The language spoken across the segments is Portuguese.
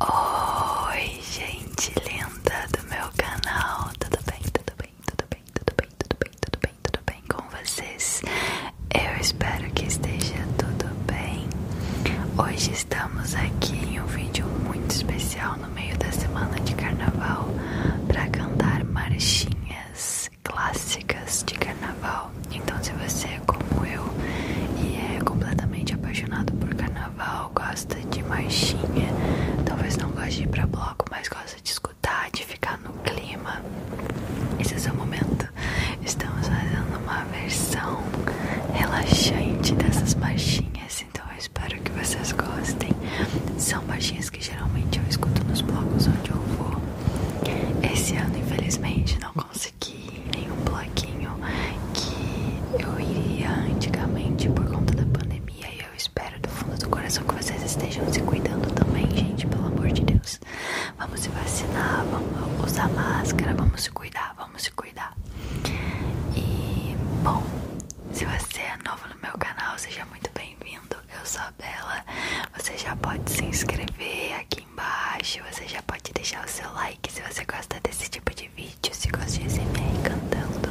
Oi, gente linda do meu canal, tudo bem, tudo bem, tudo bem, tudo bem, tudo bem, tudo bem, tudo bem com vocês? Eu espero que esteja tudo bem. Hoje estamos aqui em um vídeo muito especial no meio da semana de carnaval para cantar marchinhas clássicas de carnaval. Então, se você é como eu e é completamente apaixonado por carnaval, gosta de marchinha, talvez não goste de ir pra bloco, mas gosta de escutar, de ficar no clima. Esse é o seu momento. Estamos fazendo uma versão relaxante dessas marchinhas, então eu espero que vocês gostem. São marchinhas que geralmente eu escuto nos blocos onde eu vou. Esse ano, infelizmente, não em um bloquinho que eu iria antigamente por conta da pandemia. E eu espero do fundo do coração que vocês estejam se cuidando também, gente, pelo amor de Deus. Vamos se vacinar, vamos usar máscara, vamos se cuidar, vamos se cuidar. E, bom, se você é novo no meu canal, seja muito bem-vindo. Eu sou a Bela. Você já pode se inscrever aqui embaixo, você já pode deixar o seu like se você gosta desse tipo de de vídeo, se gosta de SMR cantando.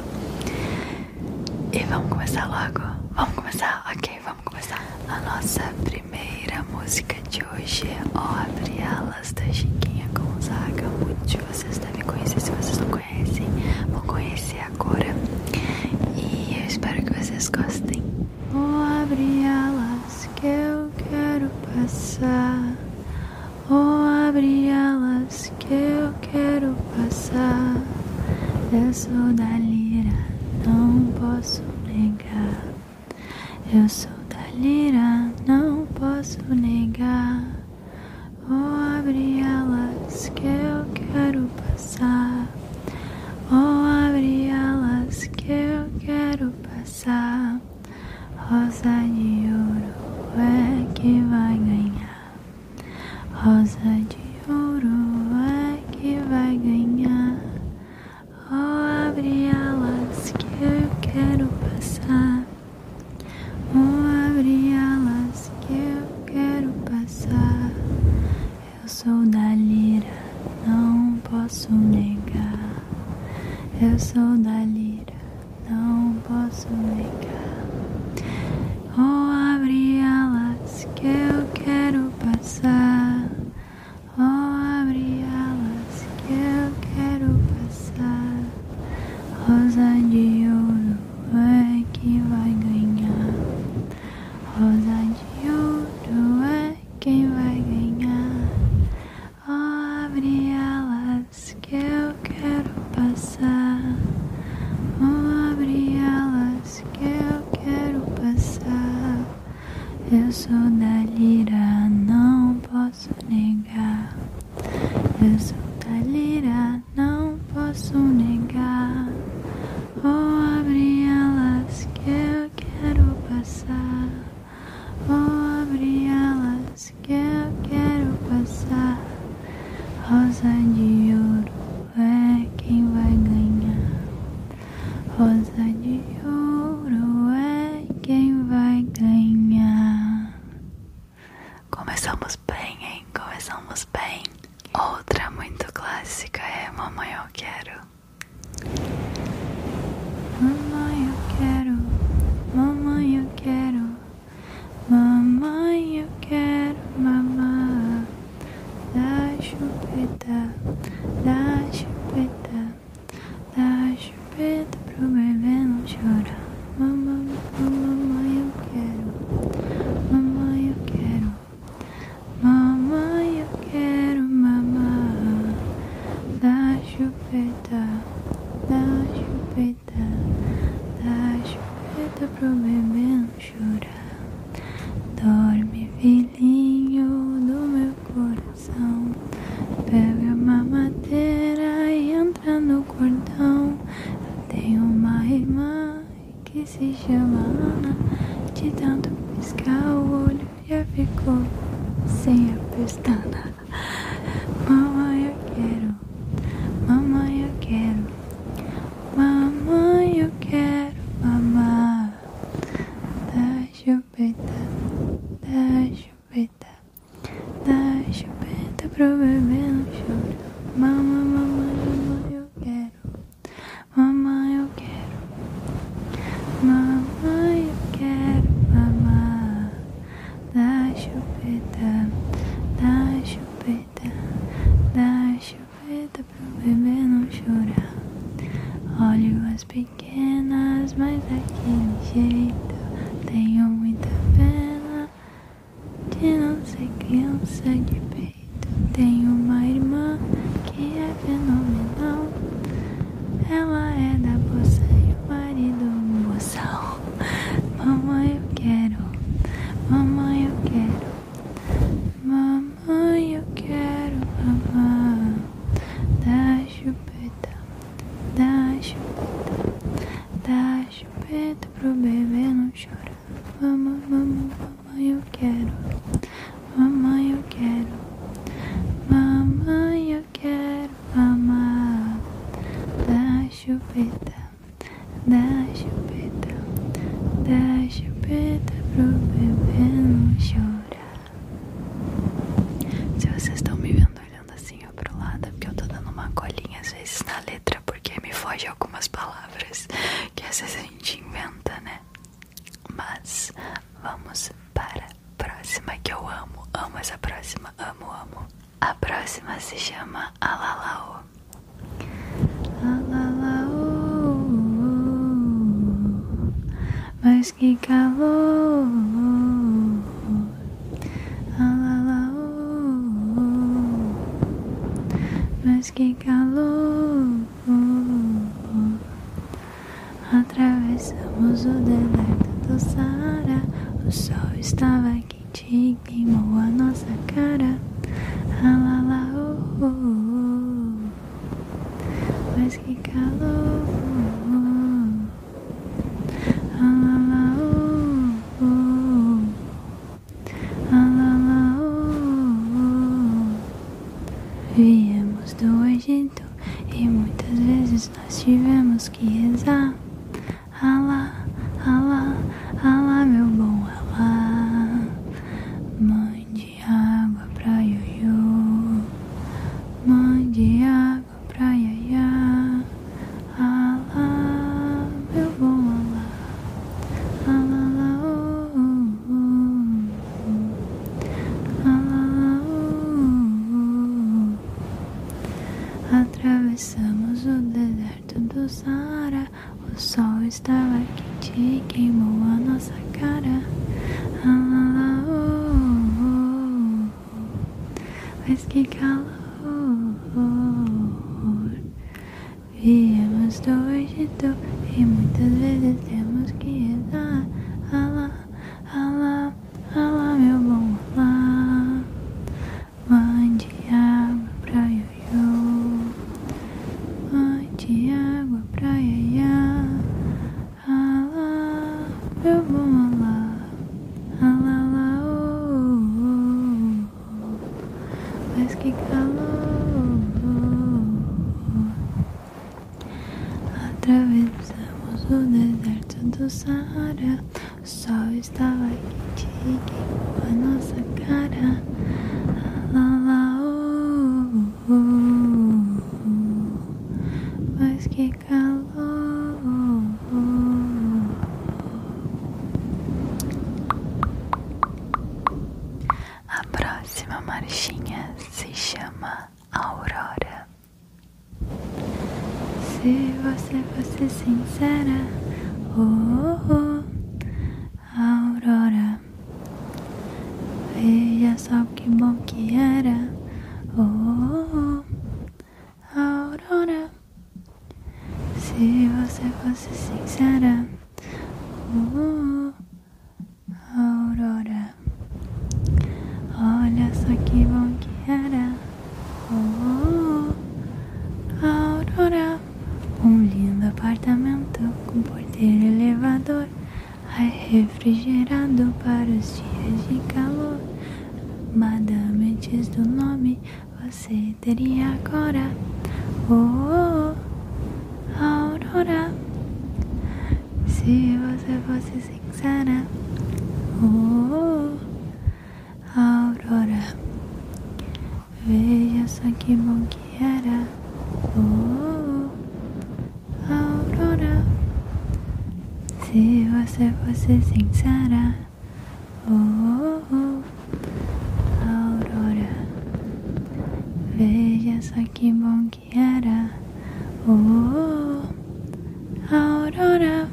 E vamos começar logo? Vamos começar? Ok, vamos começar. A nossa primeira música de hoje é Abre Alas da Chiquinha Gonzaga. Muitos de vocês devem conhecer, se vocês não conhecem, vão conhecer agora. E eu espero que vocês gostem. Oh, abre alas que eu quero passar. Oh, abre elas que eu quero passar. Eu sou da lira, não posso negar. Eu sou da lira, não posso negar. Oh, abre elas que eu quero passar. Oh, abre elas que eu quero passar. Rosa de ouro é que vai ganhar. Rosa de ouro é que vai ganhar. Oh, abre alas que eu quero passar. Oh, abre alas que eu quero passar. Eu sou da lira, não posso negar. Eu sou da lira não posso negar. Oh, abri alas que eu quero passar. Oh, abri alas que eu quero passar. Rosa de ouro é quem vai ganhar. Rosa de ouro é quem vai ganhar. Abre elas que eu quero passar. Abre elas que eu quero passar. Eu sou da lira, não posso negar. Eu sou da lira, não posso negar. Oh, abre elas que eu quero passar. Vou abri-las que eu quero passar. Rosa de ouro é quem vai ganhar. Rosa de ouro é quem vai ganhar. Começamos bem, hein? Começamos bem. Outra muito clássica é Mamãe Eu Quero. Mamãe, eu quero, mamãe, eu quero, mamãe, eu quero mamar. Da chupeta, da chupeta, da chupeta pro bebê não chorar. Mamãe, mamãe, eu quero, mamãe, eu quero, mamãe, eu quero mamãe, Da chupeta chupeta, dá chupeta, dá chupeta pro bebê não chorar. Dorme, filhinho do meu coração. Pega uma madeira e entra no cordão. Eu tenho uma irmã que se chama Ana. De tanto piscar o olho já ficou sem a pestana. Mamãe, eu quero. Mamãe, eu quero. Mamãe, eu quero mamar. Da chupeta, da chupeta, da chupeta pro bebê não chora. Mamãe, mamãe, mamãe, eu quero. Mamãe, eu quero. Mamãe, eu quero mamar da chupeta, da chupeta, da chupeta pro bebê não chorar. Olho as pequenas, mas daquele jeito tenho muita pena de não ser criança de peito. Tenho uma irmã que é fenomenal, ela é da poça e o marido um boçal. Mamãe, eu quero. Mamãe, eu quero. Mamãe, eu quero mamar. dá chupeta, dá chupeta, dá chupeta pro bebê não chorar. Mamãe, mamãe, mamãe, eu quero. Mamãe, eu quero. Mamãe, eu quero fama da chupeta, da chupeta, da chupeta pro bebê não chorar. Se vocês estão me vendo olhando assim ó pro lado, é porque eu tô dando uma colinha às vezes na letra, porque me foge algumas palavras que às vezes a gente inventa, né? Mas vamos para próxima que eu amo. Amo essa próxima, amo, amo. A próxima se chama Alalao. Alalao, mas que calor. Alalao, mas que calor. Atravessamos o deserto do Saara. O sol estava quente e queimou a nossa cara. Alala, oh, oh, oh. Mas que calor. Alala, oh, oh. Alala, oh, oh. Viemos do Egito e muitas vezes nós tivemos temos Alá, alá, alá, meu bom alá. Mande água pra ioiô. Mande água pra iaiá. Alá, meu bom alá. Alá, alá, alá, oh, oh. Alá, Atravessamos o deserto do Saara. O sol estava quente e queimou a nossa cara. Ah, lá, lá, oh, oh, oh. Mas que calor! Viemos do Egito e muitas vezes temos que rezar. Allah, Allah. Alá, meu bom, alá. Mande água pra ioiô. Mande água pra iaiá. Alá, meu bom, alá. Alá, alá, oh, Mas que calor. Atravessamos o deserto do Saara. O sol estava quente e queimou a nossa cara. Lá, lá, oh, oh, oh, Mas que calor. A próxima marchinha se chama Aurora. Se você fosse sincera, oh, oh, Aurora, veja só que bom que era, oh, oh Aurora. Se você fosse sincera, oh, oh Aurora. Olha só que bom que era. Oh, oh, a oh. aurora. Um lindo apartamento com porteiro elevador. Ai, refrigerado para os dias de calor. Madame diz do nome, você teria agora. Oh, oh, oh aurora. Se você fosse Sara, oh, Aurora, veja só que bom que era, oh, Aurora, se você fosse sincera, oh, Aurora, veja só que bom que era. Oh, Aurora,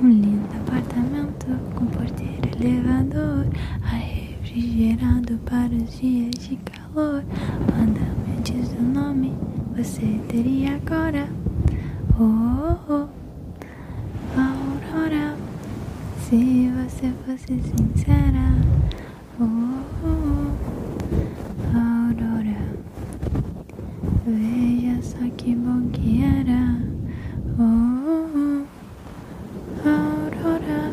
um lindo apartamento com porteiro elevador, ar refrigerado para os dias de calor. Manda-me diz o nome, você teria agora. Oh, oh, Aurora, se você fosse sincera. oh, oh Aurora. Veja só que bom que era. Oh, Aurora,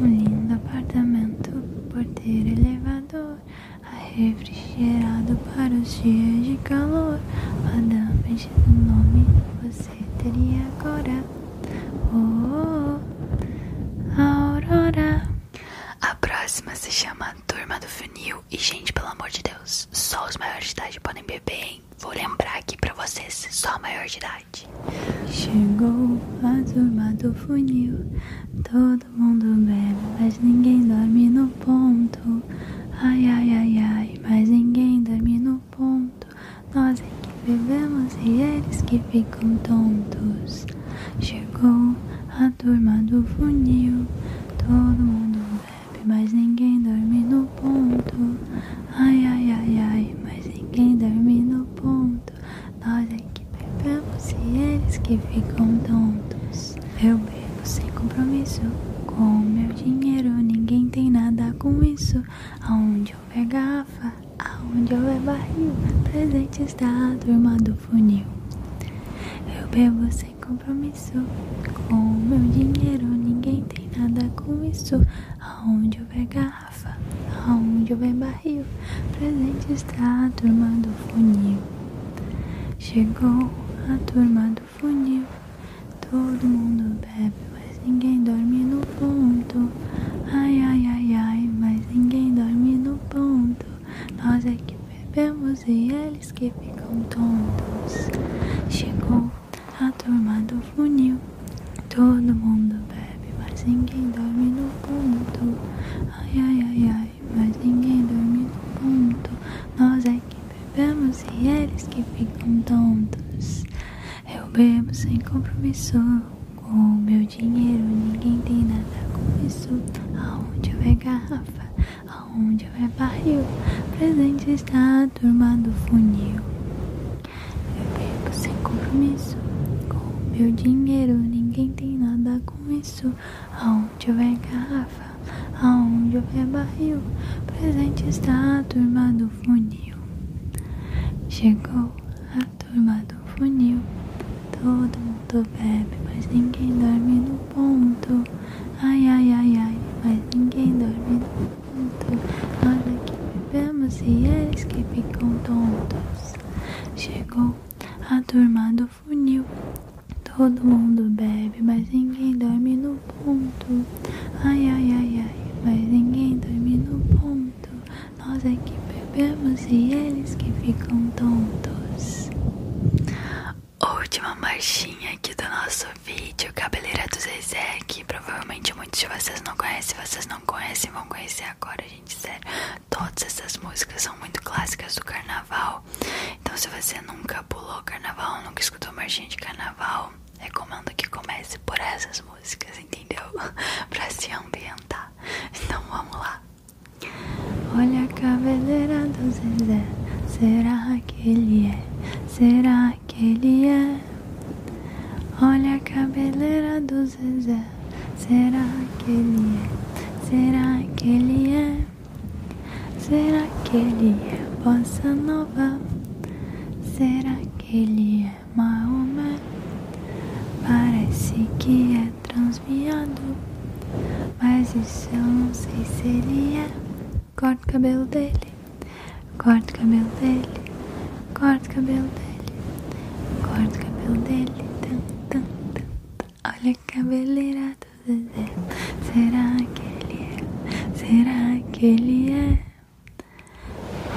um lindo apartamento, porteiro elevador, refrigerado para os dias de calor. Madame, do nome você teria agora. Oh, oh. Aurora. A próxima se chama turma, turma do funil. E, gente, pelo amor de Deus, só os maiores de idade podem beber, hein? Vou lembrar aqui pra vocês, só maior de idade. Chegou a turma do funil, todo mundo bebe, mas ninguém dorme no ponto. Ai, ai, ai, ai, mas ninguém dorme no ponto. Nós é que bebemos e eles que ficam tontos. Chegou a turma do funil. Todo mundo bebe, mas ninguém dorme no ponto. Ai, ai, ai, ai, mas ninguém dorme no ponto. Nós é que bebemos e eles que ficam tontos. Eu bebo sem compromisso. Com meu dinheiro, ninguém tem nada com isso. Aonde houver garrafa, aonde eu houver barril, presente está a turma do eu bebo sem compromisso. Com o meu dinheiro, ninguém tem nada com isso. Aonde houver garrafa, aonde eu houver barril, presente está a turma do funil. Chegou a turma do funil. Todo mundo bebe, mas ninguém dorme no ponto. Ai, ai, ai, ai, mas ninguém dorme no ponto. Nós é que bebemos e eles que ficam tontos. Chegou a turma do funil. Todo mundo bebe, mas ninguém dorme no ponto. Ai, ai, ai, ai, mas ninguém dorme no ponto. Nós é que bebemos e eles que ficam tontos. Eu bebo sem compromisso com o meu dinheiro, ninguém tem nada com isso. Aonde vai garrafa? Aonde vai barril? Presente está a turma do funil. Eu bebo sem compromisso. Com meu dinheiro, ninguém tem nada com isso. Aonde vai garrafa? Aonde vai barril? Presente está a turma do funil. Chegou a turma do funil. Todo mundo bebe, mas ninguém dorme no ponto. Ai, ai, ai, ai, mas ninguém dorme no ponto. nós aqui bebemos e eles que ficam tontos. Chegou a turma do funil. Todo mundo bebe, mas ninguém dorme no ponto. Ai, ai, ai, ai, mas ninguém dorme no ponto. Nós é que bebemos bebemos e eles que ficam tontos. Última marchinha aqui do nosso vídeo, Cabeleira do Zezé, que provavelmente muitos de vocês não conhecem, vocês não conhecem, vão conhecer agora, a gente, sério. Todas essas músicas são muito clássicas do carnaval, então se você nunca pulou carnaval, nunca escutou marchinha de carnaval, recomendo que comece por essas músicas, entendeu? pra se ambientar. Então vamos lá. Olha a cabeleira do Zezé, será que ele é? Será que ele é? Olha a cabeleira do Zezé, será que ele é? Será que ele é? Será que ele é bossa nova? Será que ele é Maomé? Parece que é é Mas isso eu não sei se ele é. Corta o cabelo dele, corta o cabelo dele, corta o cabelo dele, corta o cabelo dele. Tan, tan, tan, Olha a cabeleira do Zezé. Será que ele é? Será que ele é?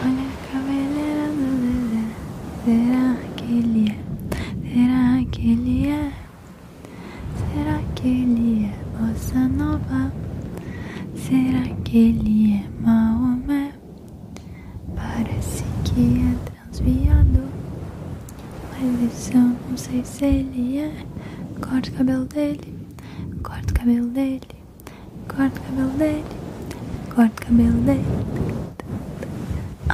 Olha a cabeleira do Zezé. Será que ele é? Será que ele é? Será que ele é Bossa Nova? Será que ele é Maomé? Parece que é transviado Mas isso eu não sei se ele é Corta o cabelo dele Corta o cabelo dele Corta o cabelo dele Corta o cabelo dele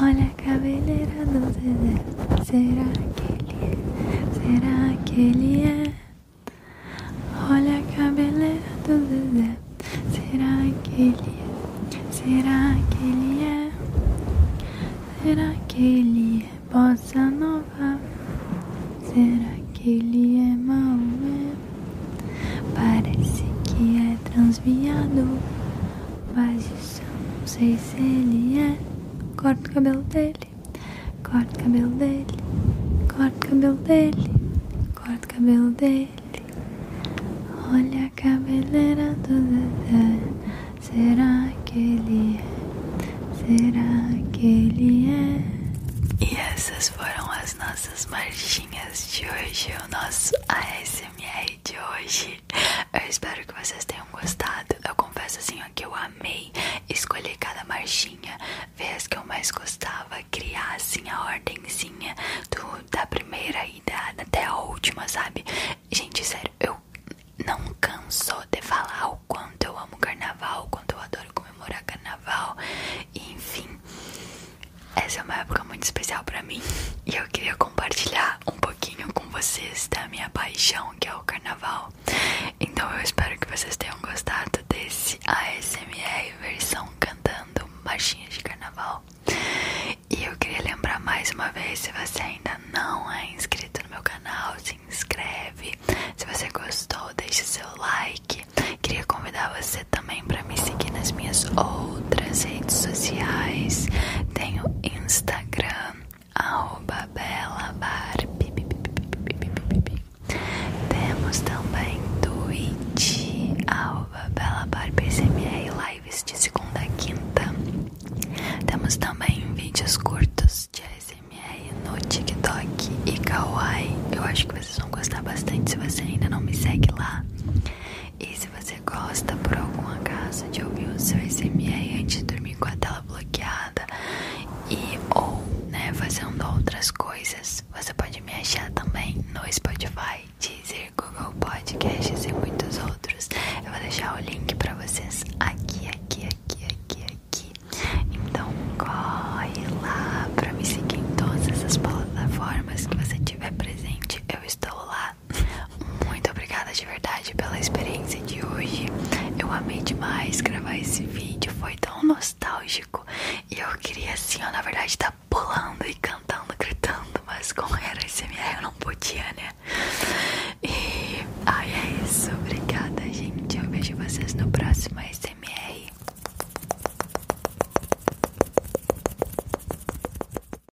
Olha a cabeleira do Zezé. Será que ele é? Será que ele é? Olha a cabeleira do Zezé. Será que ele é? Será que ele é? Será que ele é bossa nova? Será que ele é Maomé? Parece que é transviado, mas não sei se ele é. Corta o cabelo dele, corta o cabelo dele, corta o cabelo dele, corta o cabelo dele. Olha a cabeleira do Dedé, será que ele é? Será que ele é? E essas foram as nossas marchinhas de hoje, o nosso ASMR de hoje. Eu espero que vocês tenham gostado. Eu confesso assim ó, que eu amei escolher cada marchinha, ver as que eu mais gostava, criar assim a ordenzinha do, da primeira e até a última, sabe? Gente, sério, eu não canso de falar o quanto eu amo carnaval, o quanto eu adoro comemorar carnaval, enfim. Essa é uma época muito especial para mim e eu queria compartilhar um pouquinho com vocês da minha paixão que é o carnaval. Então eu espero que vocês tenham gostado desse ASMR versão cantando marchinhas de carnaval. E eu queria lembrar mais uma vez, se você ainda não é inscrito no meu canal, se inscreve. Se você gostou, deixe seu like. Queria convidar você também para me seguir nas minhas outras redes sociais. Tenho Instagram arroba Bela Barbie. Temos também Twitch arroba Bela Barbie SMR lives de segunda a quinta. Temos também vídeos curtos de SMR no TikTok e Kawaii. Eu acho que vocês vão gostar bastante se você ainda não me segue lá. E se você gosta por algum acaso de ouvir o seu SMR antes de dormir com a tela bloqueada e ou né, fazendo outras coisas, você pode me achar também no Spotify, Deezer, Google Podcasts e muitos outros. Eu vou deixar o link para vocês aqui, aqui, aqui, aqui, aqui. Então corre lá para me seguir em todas as plataformas que você tiver presente. Eu estou lá. Muito obrigada de verdade pela experiência de hoje. Eu amei demais gravar esse vídeo, foi tão nostálgico. E eu queria assim, ó, na verdade, tá pulando e cantando, gritando, mas como era SMR eu não podia, né? E aí é isso, obrigada, gente. Eu vejo vocês no próximo SMR.